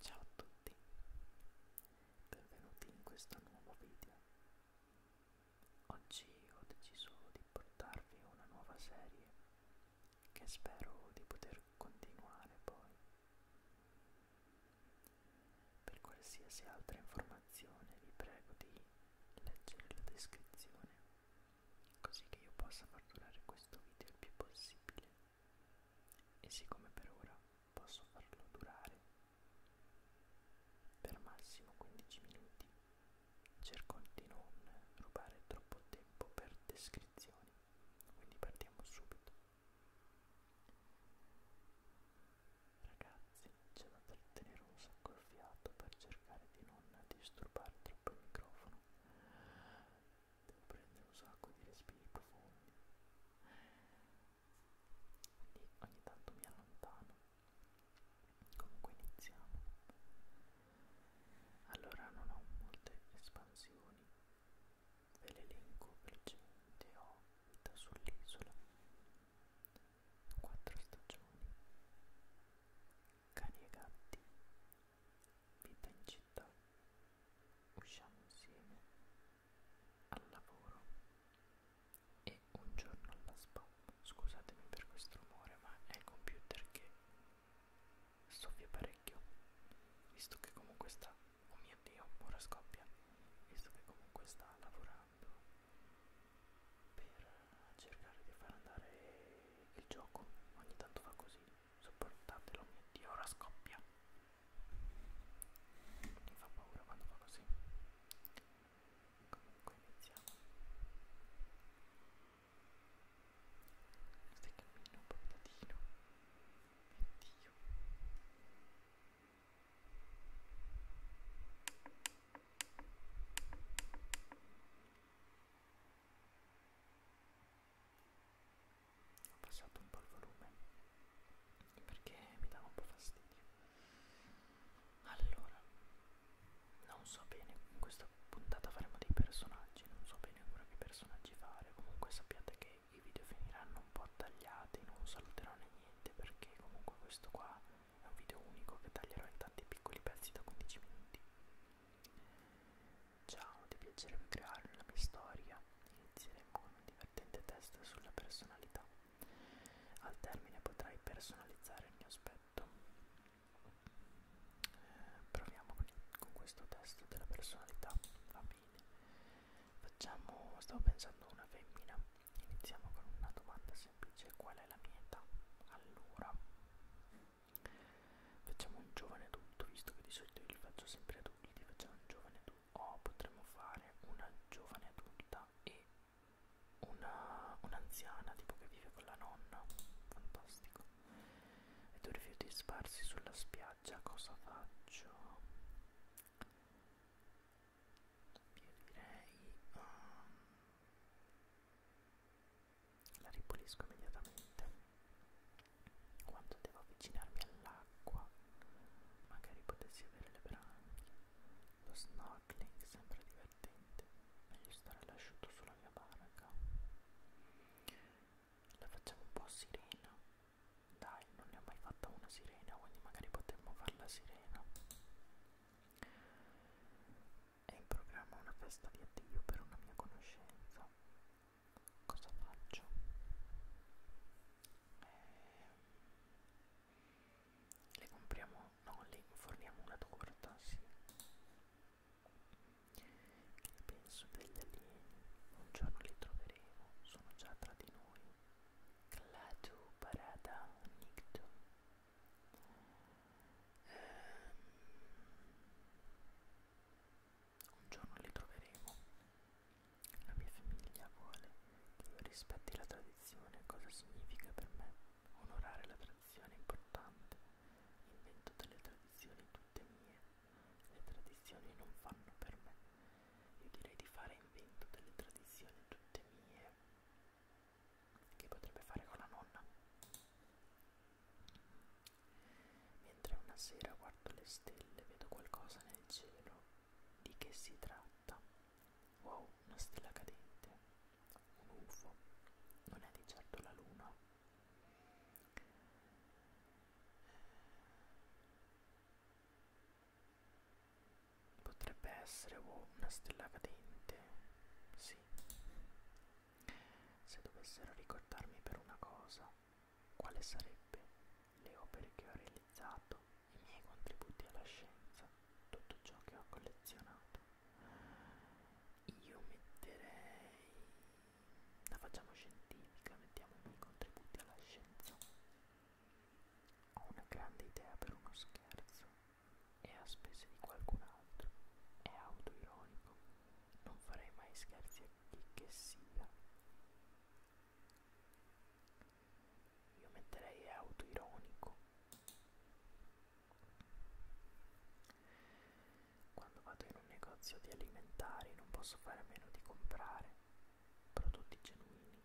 Ciao a tutti, benvenuti in questo nuovo video. Oggi ho deciso di portarvi una nuova serie che spero di poter continuare poi. Per qualsiasi altra informazione vi prego di leggere la descrizione così che io possa far durare questo video il più possibile e siccome per ora posso farlo durare per massimo 15 minuti cerco di non rubare troppo tempo per descrizioni quindi partiamo subito ragazzi c'è da trattenere un sacco il fiato per cercare di non disturbare troppo il microfono devo prendere un sacco di respiri profondi e ogni tanto mi allontano comunque iniziamo allora non ho molte espansioni ve l'elenco velocemente ho vita sull'isola quattro stagioni cani e gatti vita in città, usciamo insieme al lavoro e un giorno alla spa. Scusatemi per questo rumore, ma è il computer che soffia parecchio, visto che comunque sta, oh mio dio, ora scoppia, visto che comunque sta lavorando per cercare di far andare il gioco, ogni tanto fa così Sopportatelo, oh mio Dio, ora scoppia. Mi fa paura quando fa così. Comunque iniziamo. Stai cammino, patatino. Mio Dio ho passato un po' il volume perché mi dava un po' fastidio allora non so bene in questa puntata faremo dei personaggi non so bene ancora che personaggi fare comunque sappiate che i video finiranno un po' tagliati non saluterò né niente perché comunque questo qua è un video unico che taglierò in tanti piccoli pezzi da 15 minuti Ciao, ti piacerebbe creare una mia storia? Inizieremo con un divertente test sulla personalità. Al termine potrai personalizzare il mio aspetto. Eh, proviamo con, con questo test della personalità. Va bene. Facciamo, stavo pensando a una femmina. Iniziamo con una domanda semplice. Qual è la mia età? Allora, Facciamo un giovane adulto, visto che di solito io li faccio sempre adulti, facciamo un giovane adulto. Oh, potremmo fare una giovane adulta e una un'anziana, tipo che vive con la nonna. Fantastico. E tu rifiuti sparsi sulla spiaggia, cosa faccio? Io direi... Um, la ripulisco immediatamente quando devo avvicinarmi all'acqua magari potessi avere le branchie lo snorkeling sembra divertente meglio stare all'asciutto sulla mia barca la facciamo un po' sirena dai non ne ho mai fatta una sirena quindi magari potremmo farla sirena è in programma una festa di addio per una mia conoscenza. Cosa faccio? Eh, le compriamo, no, le forniamo una torta, sì. Che penso degli alieni? Un giorno li troveremo, sono già tra di noi. Clatu parada nictu ehm, un giorno li troveremo la mia famiglia vuole che io rispetti la tradizione cosa significa per me onorare la tradizione è importante invento delle tradizioni tutte mie le tradizioni non fanno per me io direi di fare invento delle tradizioni tutte mie che potrebbe fare con la nonna. Mentre una sera guardo le stelle, vedo qualcosa nel cielo. Di che si tratta? Wow, una stella cadente, un UFO, non è di certo la luna. Potrebbe essere wow, una stella cadente, sì, così. Se dovessero ricordarmi per una cosa, quale sarebbe le opere che ho realizzato, i miei contributi alla scienza, tutto ciò che ho collezionato? Io metterei... la facciamo scientifica, mettiamo i miei contributi alla scienza. Ho una grande idea per uno scherzo e a spese di qualcun altro. È autoironico, non farei mai scherzi a chi che sia. Io metterei autoironico. Quando vado in un negozio di alimentari non posso fare a meno di comprare prodotti genuini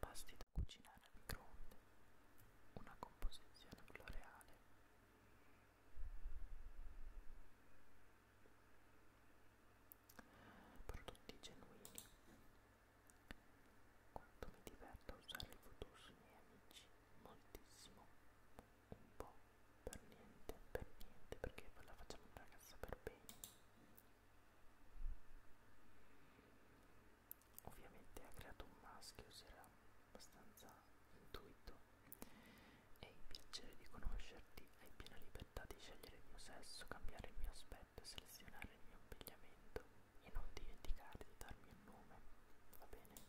pasti da cucinare al microonde, una composizione floreale. Prodotti genuini. Quanto mi diverto a usare i foto sui miei amici, moltissimo, un po', per niente, per niente, perché la facciamo una ragazza per bene ovviamente ha creato un maschio, si era abbastanza intuito e il piacere di conoscerti, hai piena libertà di scegliere il mio sesso, cambiare il mio aspetto, selezionare il mio abbigliamento e non dimenticare di darmi un nome, va bene?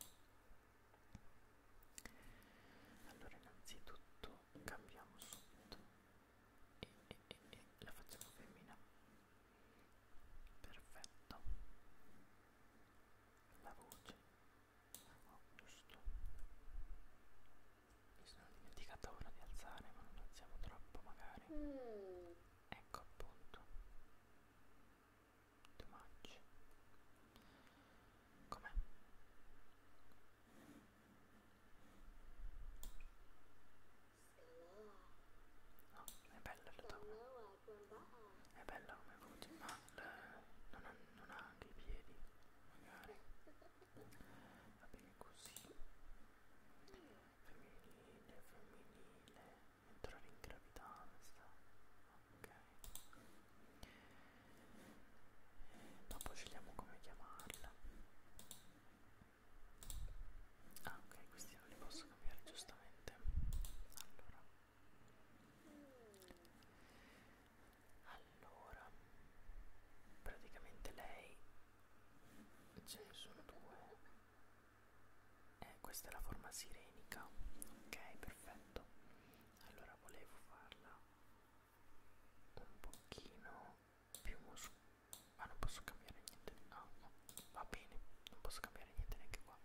Allora innanzitutto cambiamo subito e, e, e, e la facciamo femmina perfetto la voce oh, giusto mi sono dimenticata ora di alzare ma non alziamo troppo magari mm. ecco appunto too much com'è? No, è bella la donna. È bella come voce, ma la, non, ha, non ha anche i piedi, magari. Va bene così. Femminile, femminile. Entrare in gravidanza. Ok. E dopo scegliamo come chiamarla. Ah ok, questi non li posso cambiare giustamente. Allora. Allora. Praticamente lei ce ne sono due. Eh, questa è la forma sirenica. Ok, perfetto. Allora volevo farla un pochino più muscolare ma non posso cambiare niente ah no va bene non posso cambiare niente neanche qua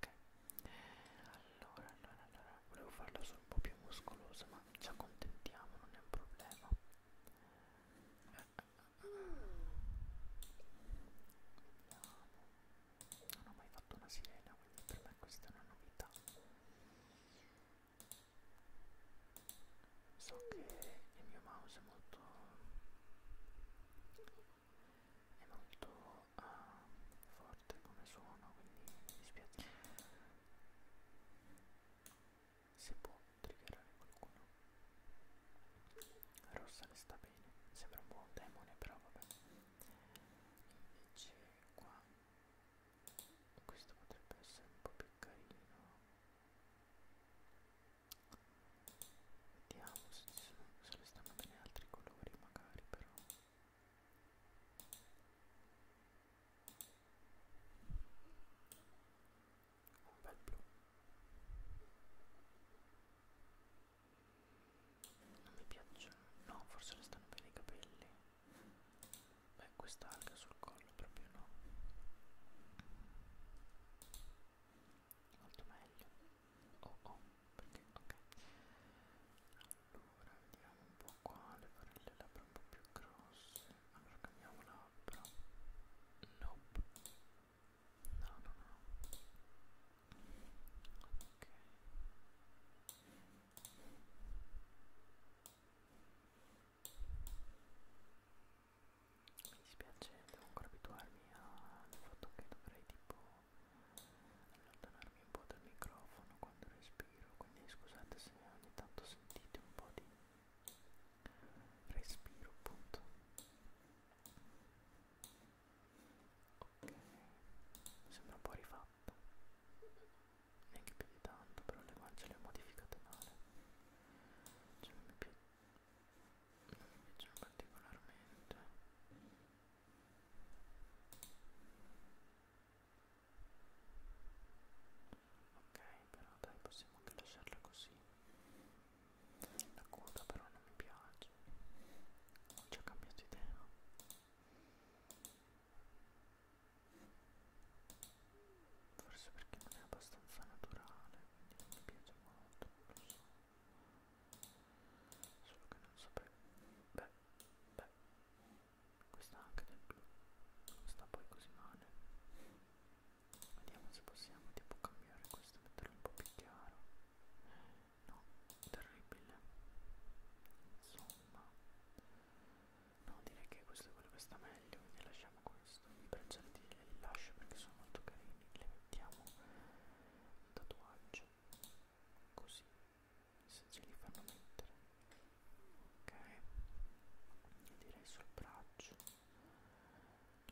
ok allora allora allora volevo farla solo un po' più muscolosa ma ci accontentiamo non è un problema non ho mai fatto una sirena quindi per me questa è una novità so che il mio mouse è molto è molto uh, forte come suono quindi mi dispiace si può triggerare qualcuno rossa le sta bene sembra un buon demone però vabbè invece qua questo potrebbe essere un po' più carino Vediamo se, ci sono, se le stanno bene altri colori magari però un bel blu non mi piacciono no forse le stanno bene i capelli beh quest'alga sul collo proprio no molto meglio oh oh perché ok allora vediamo un po' qua le farelle labbra un po' più grosse allora cambiamo labbra nope no no no ok mi dispiace devo ancora abituarmi al fatto che dovrei tipo allontanarmi un po' dal microfono quando respiro quindi scusate se ogni tanto sentite un po' di respiro appunto ok sembra un po' rifatto neanche più di tanto però le guance le ho modificate male cioè, mi piace non mi piacciono particolarmente ok però dai possiamo anche lasciarla così la coda però non mi piace ho già cambiato idea forse perché non è abbastanza naturale quindi mi piace molto non lo so solo che non sapevo beh beh questa anche del blu non sta poi così male vediamo se possiamo tipo cambiare questo metterlo un po' più chiaro no terribile insomma No, direi che questo è quello che sta meglio, quindi lasciamo questo. I braccialetti li lascio perché sono molto carini, li mettiamo in tatuaggio, così, se ce li fanno mettere. Ok, e direi sul braccio,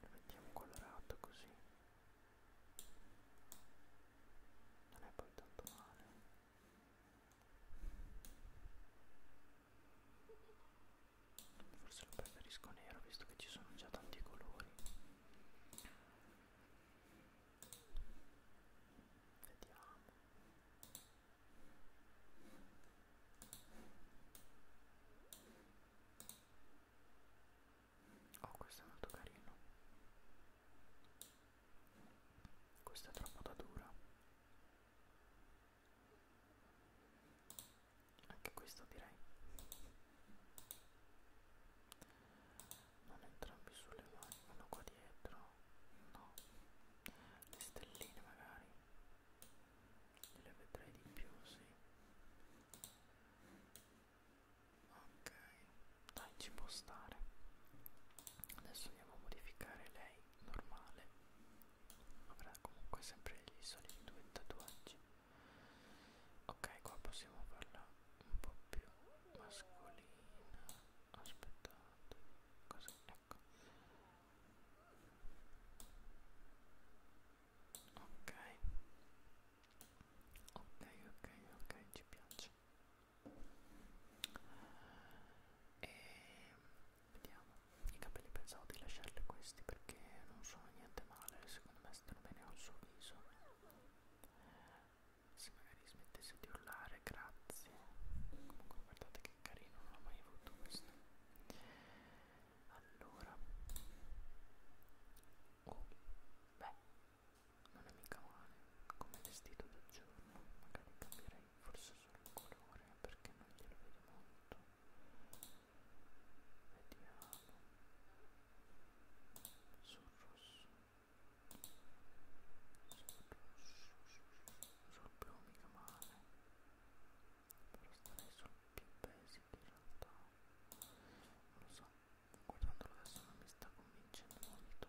lo mettiamo colorato così. Non è poi tanto male. Forse lo preferisco nero visto che ci sono già tanti colori. Vediamo. Oh, questo è molto carino. Questa è troppo da dura anche questo direi non entrambi sulle mani uno qua dietro no le stelline magari le vedrei di più sì ok dai ci può stare adesso andiamo a modificare lei normale avrà comunque sempre i soliti due tatuaggi ok qua possiamo farla un po' più mascolina aspettate così ecco ok ok ok ok ci piace e vediamo i capelli pensavo di lasciarli questi perché non sono niente male secondo me stanno bene col suo viso se magari smettesse di urlare grazie comunque guardate che carino non l'ho mai avuto questo allora oh beh non è mica male come vestito da giorno magari cambierei forse sul colore perché non glielo vedo molto vediamo sul rosso sul rosso sul blu mica male però starei sul più basic in realtà non lo so guardandolo adesso non mi sta convincendo molto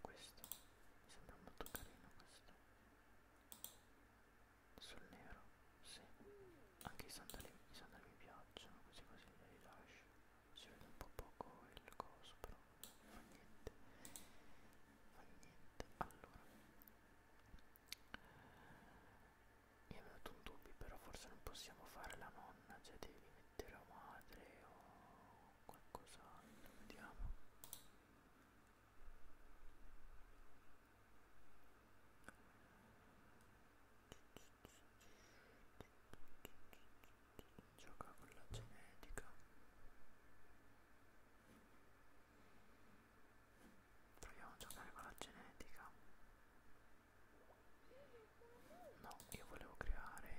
questo mi sembra molto carino questo sul nero sì anche i sandali, i sandali mi piacciono così così li rilascio si vede un po' poco il coso però fa niente fa niente allora mi è venuto un dubbio però forse non possiamo fare la nonna cioè devi mettere la madre o qualcos'altro vediamo gioca con la genetica proviamo a giocare con la genetica no io volevo creare